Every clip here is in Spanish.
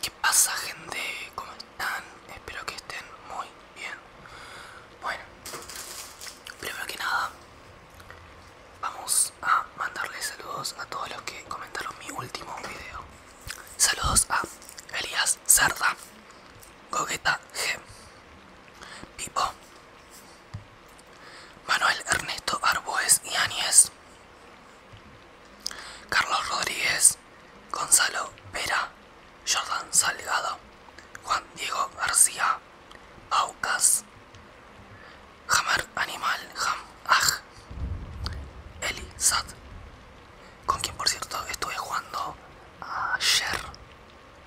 ¿Qué pasa gente? ¿Cómo están? Espero que estén muy bien. Bueno, primero que nada, vamos a mandarles saludos a todos los que comentaron mi último video. Saludos a Elías Cerda, Gogeta G, Pipo, Manuel Ernesto Arboes y Áñez. Carlos Rodríguez, Gonzalo Vera, Jordan Salgado, Juan Diego García, Aucas, Hammer Animal, Ham Ah, Eli Sad, con quien por cierto estuve jugando ayer,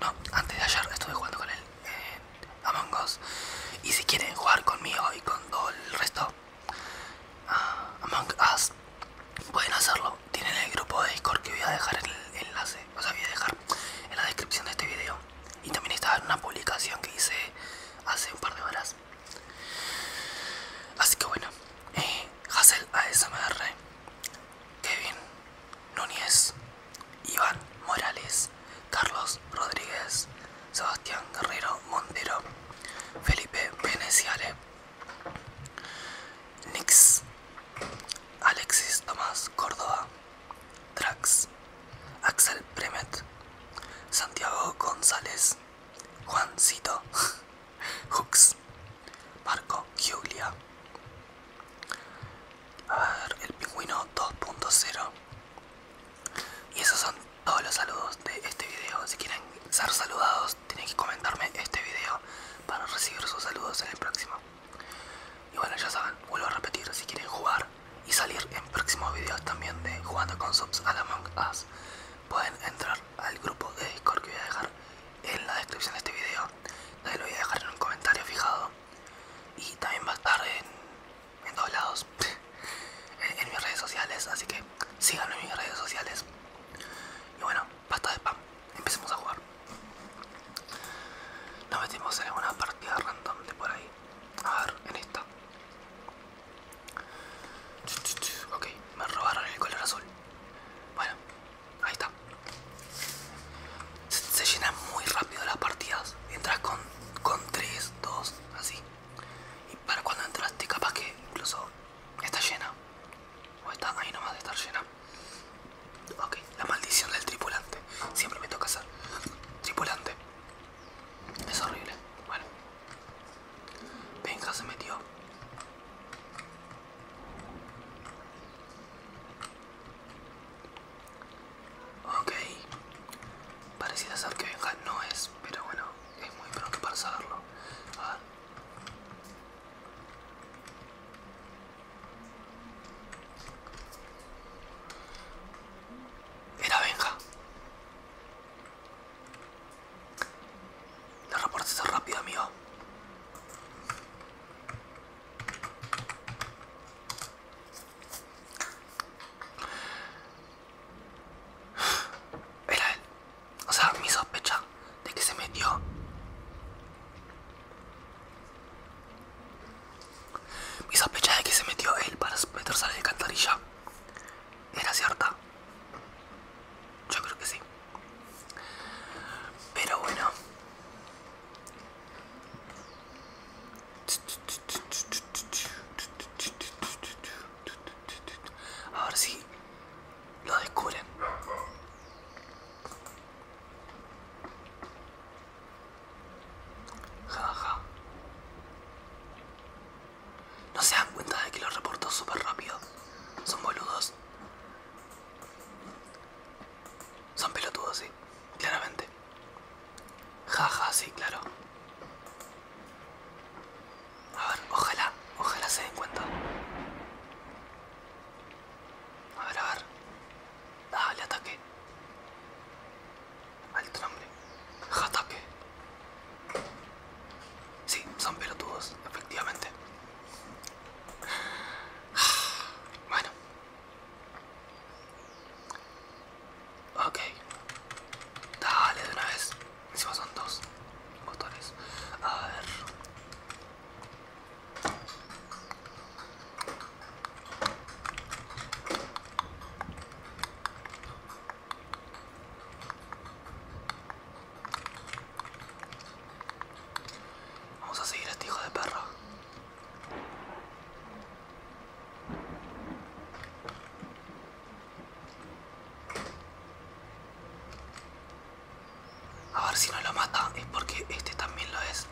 no, antes de ayer estuve jugando con él en Among Us. Y si quieren jugar conmigo y con todo el resto, Ah, Among Us pueden hacerlo. Tienen el grupo de Discord que voy a dejar el enlace, o sea, voy a dejar en la descripción de este video. Y también estaba en una publicación que hice hace un par de horas. Así que bueno, eh, Hazel ASMR, Kevin Núñez, Iván Morales, Carlos Rodríguez, Sebastián Guerrero Montero, Felipe Veneciale, Nix, Alexis Tomás Córdoba, Trax, Axel Premet, Santiago González, Juancito, Hooks, Marco Giulia, a ver, el pingüino 2.0, y esos son todos los saludos de este video. Si quieren ser saludados, tienen que comentarme este video para recibir sus saludos en el próximo. Y bueno, ya saben, vuelvo a repetir, si quieren jugar y salir en próximos videos también de jugando con subs a la Among Us, pueden entrar al grupo de Discord que voy a dejar en la descripción de este video. También lo voy a dejar en un comentario fijado. Y también va a estar en en todos lados, en, mis redes sociales, así que síganme en mis redes sociales. Y bueno, basta de spam, empecemos a jugar. Nos metimos en una partida random de por ahí. A ver, en esta. Ok, me robaron el color azul. Bueno, ahí está. Se, llenan muy rápido las partidas. Entras con, con 3, 2, así para cuando entraste, capaz que incluso está llena. O está ahí nomás de estar llena. Ok, la maldición del tripulante. Siempre me toca hacer. Tripulante. Es horrible. Bueno. Venga, se metió. Ok. Pareciera ser que Benja no es, pero bueno es muy pronto para saberlo. Era venga La reporte está rápida, amigo. Era él. O sea, mi sospecha de que se metió. Mi sospecha de que se metió él para meterse a la alcantarilla era cierta. Yo creo que sí. Pero bueno. A ver si lo descubren. Jaja. No se dan cuenta de que lo reportó súper rápido. Son boludos. Son pelotudos, sí. Claramente. Jaja, sí, claro. A ver, ojalá, ojalá se den cuenta. A ver, a ver. Dale, ataque. Al nombre, Jataque. Sí, son pelotudos, efectivamente. Bueno. Ok. Dale de una vez. Encima son dos botones. A ver. Vamos a seguir a este hijo de perro. A ver si no lo mata, es porque este también lo es.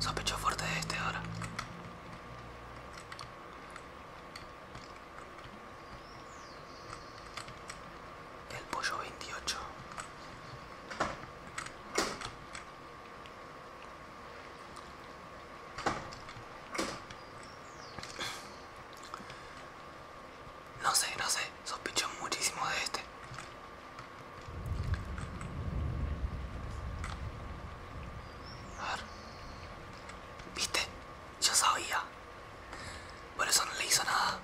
Sospecho fuerte de este ahora. El pollo 28. No sé, no sé, sospecho muchísimo de este. A ver. ¿Viste? Yo sabía. Por eso no le hizo nada.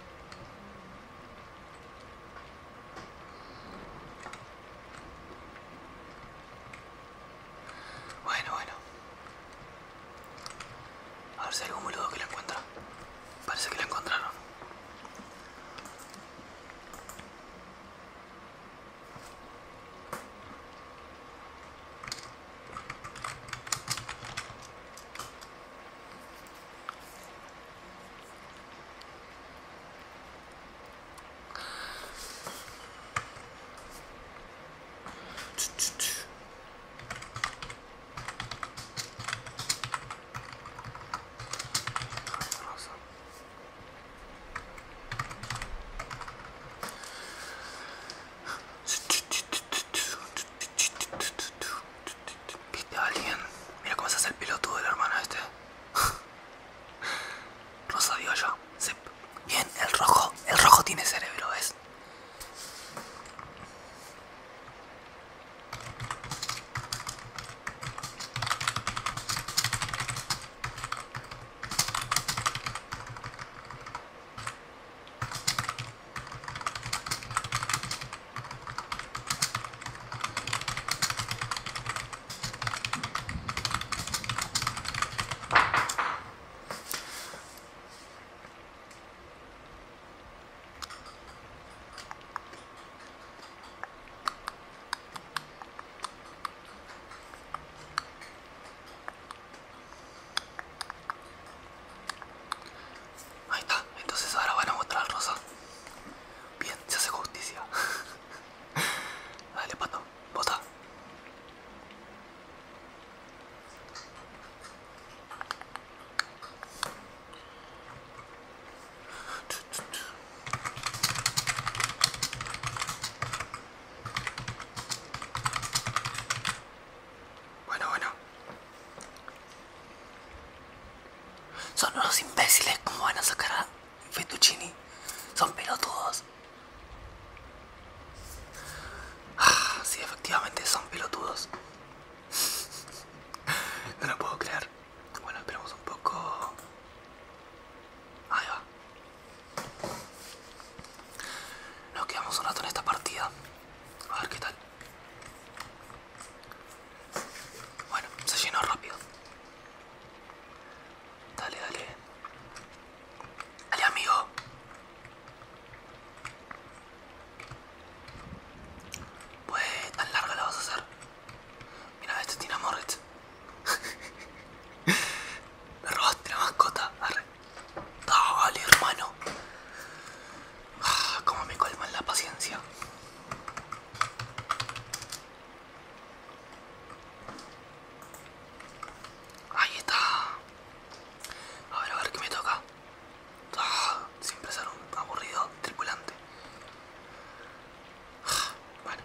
Bueno, bueno. A ver si algún boludo que la encuentra. Parece que la encontraron. Viste a alguien. Mira cómo se hace el piloto del hermano este. Rosa sabía ya. Bien, el rojo, el rojo tiene cerebro, es. Ahí está, entonces ahora van a mostrar rosa. Bien, se hace justicia. Dale, pato bota Bueno, bueno. Son unos imbéciles como van a sacar a Fettuccini. Son pelotudos si ah, Sí, efectivamente son pelotudos. No lo puedo creer. Bueno, esperamos un poco. Ahí va. Nos quedamos un rato en esta partida. A ver qué tal. Bueno, se llenó rápido. Dale, dale. Dale, amigo. Pues tan larga la vas a hacer. Mira, este tiene amor, este. Me robaste la mascota. Dale, hermano. Ah, cómo me colman la paciencia. Ahí está. A ver, a ver qué me toca. Ah, siempre ser un aburrido tripulante. bueno. Ah,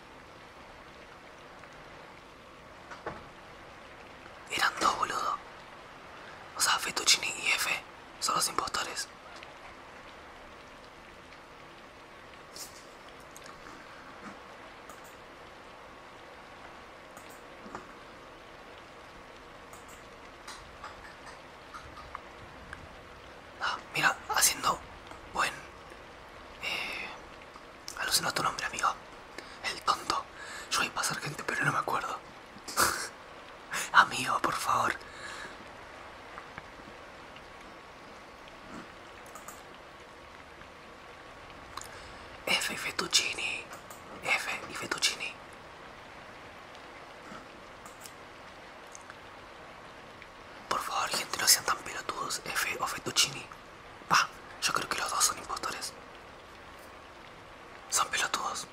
Eran dos, boludo. O sea, Fettuccini y F son los impostores. Ah, mira, haciendo buen... Eh, alucino tu nombre, amigo. El tonto. Yo iba pasar gente, pero no me acuerdo. amigo, por favor. F y fettuccini. F y fettuccini. Por favor, gente, no sean tan pelotudos, F o Fettuccini. Va, yo creo que los dos son impostores. Son pelotudos.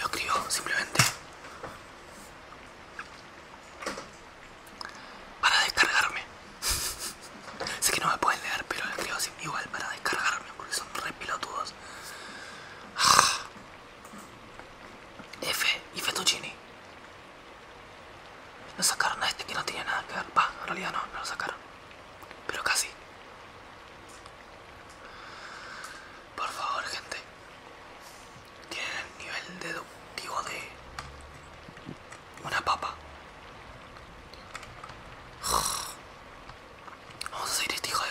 Lo escribo simplemente para descargarme. sé que no me pueden leer, pero les escribo igual para descargarme porque son re pilotudos. F y fetuccini No sacaron a este que no tiene nada que ver. en realidad no, no lo sacaron. Pero casi. Por favor, gente tienen el nivel deductivo de una papa. Vamos a seguir este hijo de...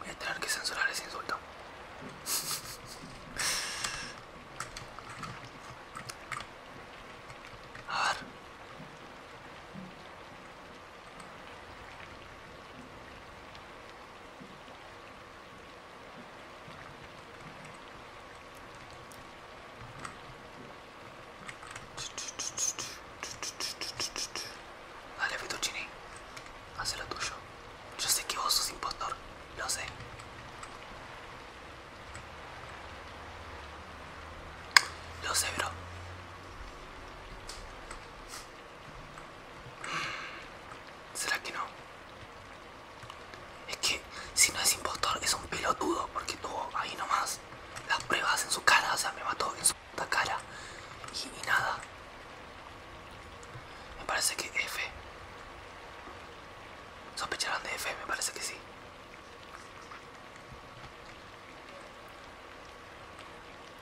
Voy a tener que censurar ese insulto. A ver. Dale, Fettuccini. Haz lo tuyo. Yo sé que vos sos impostor. Lo sé. Lo sé, bro. ¿Será que no? Es que si no es impostor es un pelotudo porque tuvo ahí nomás las pruebas en su cara, o sea, me mató en su puta cara y, nada. Me parece que F. ¿Sospecharán de F? Me parece que sí.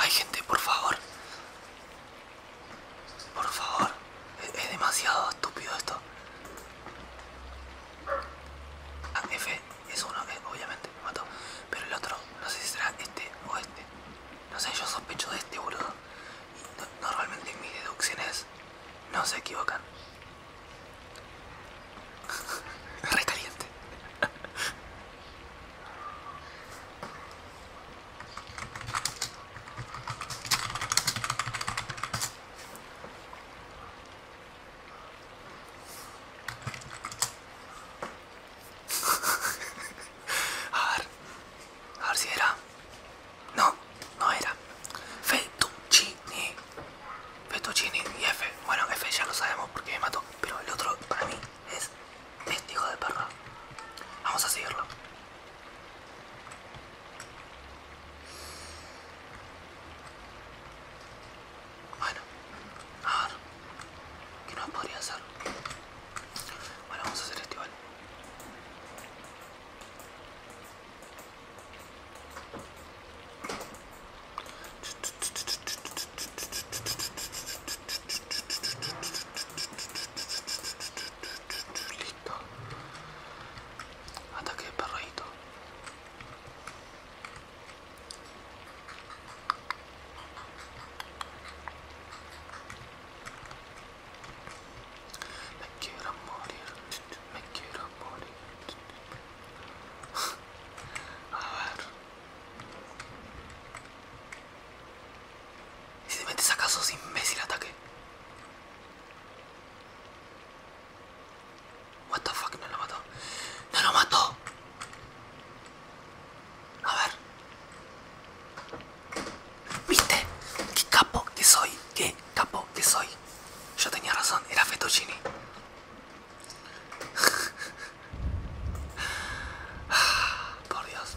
Ay gente, por favor. Por favor. Es, demasiado estúpido esto. Ah, F es uno, eh, obviamente, mató. Pero el otro, no sé si será este o este. No sé, yo sospecho de este, boludo. Y normalmente mis deducciones no se equivocan. Re caliente. A ver, a ver si era. No, no era. Fettuccini. Fettuccini y F. Bueno, F ya lo sabemos porque me mató. Pero el otro para mí es testigo de perro. Vamos a seguirlo. Bueno, a ver, ¿qué no podría hacer? Bueno, vamos a hacer este igual. Listo. Ataque de me quiero morir, me quiero morir. A ver. si te metes acaso es imbécil ataque? What the fuck, no lo mató. ¡No lo mató! A ver. ¿Viste? ¿Qué capo que soy? ¿Qué capo que soy? Yo tenía razón, era Fettuccini. Por Dios.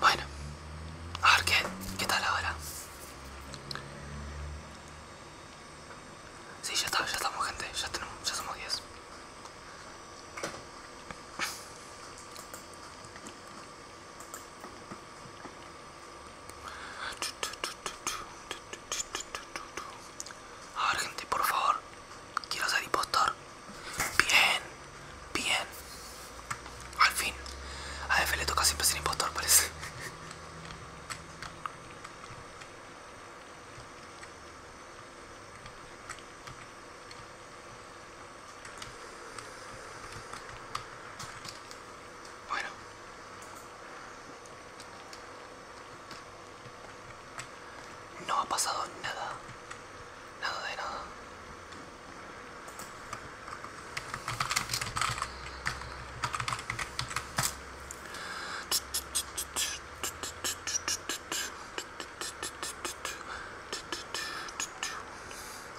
Bueno, a ver qué, tal ahora. Sí, ya está, ya estamos gente, ya tenemos, ya somos diez a gente, por favor. Quiero ser impostor. Bien, bien. Al fin. A F le toca siempre ser impostor, parece. Bueno. No ha pasado nada. Nada de nada.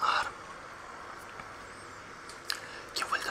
A ver. ¿Quién fue el que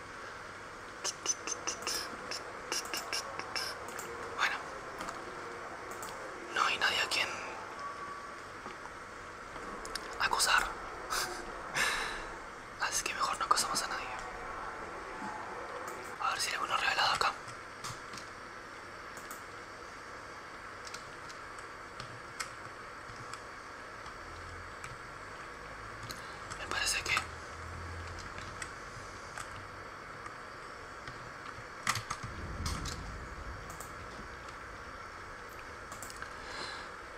Bueno. No hay nadie a quien acusar, Así que mejor no acusamos a nadie. A ver si hay alguno revelado acá. Me parece que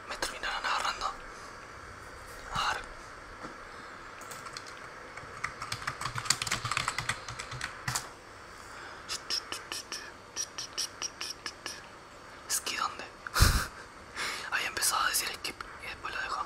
me terminaron agarrando. A ver. Esquí dónde? Había empezado a decir skip y después lo dejó.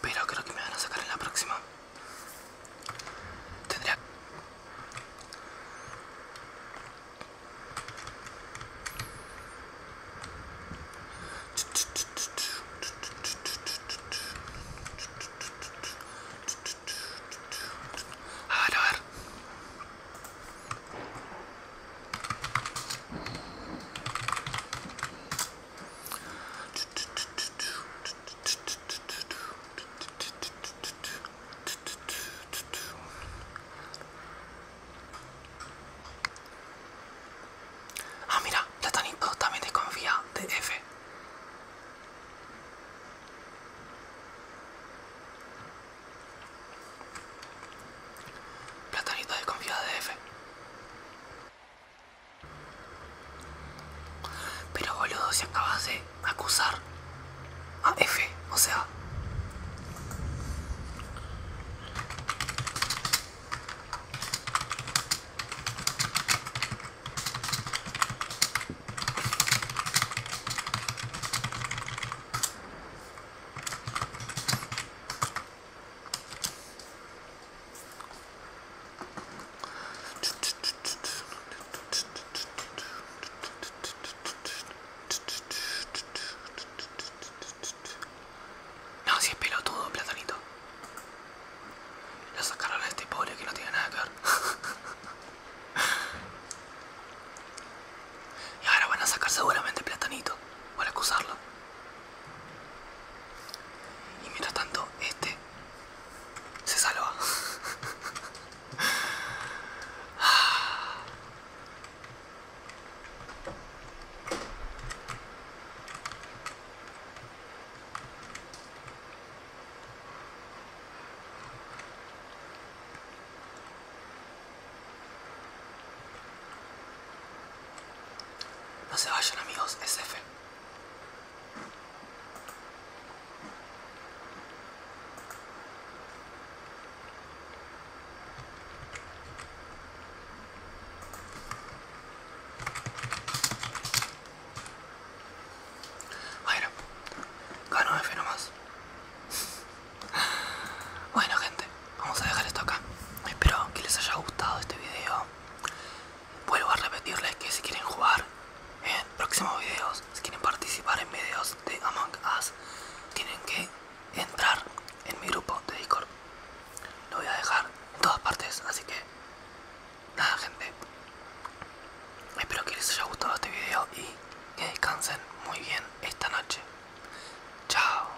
Pero creo que me van a sacar en la próxima. Tendría... Ah, mira, Platanito oh, también confía de F. Platanito confía de F. Pero boludo, si acabas de acusar a F, o sea... No, si es pelotudo, platanito. Lo sacaron a este pobre que no tiene nada que ver. y ahora van a sacar seguramente platanito para acusarlo. Y mientras tanto, este se salva. No se vayan amigos, es bueno, ganó F nomás. Bueno gente, vamos a dejar esto acá. Espero que les haya gustado este video. Vuelvo a repetirles que si quieren jugar en próximos videos, si quieren participar en videos de Among Us, tienen que entrar en mi grupo de Discord. Lo voy a dejar en todas partes, así que nada gente. Espero que les haya gustado este video y que descansen muy bien esta noche. Chao.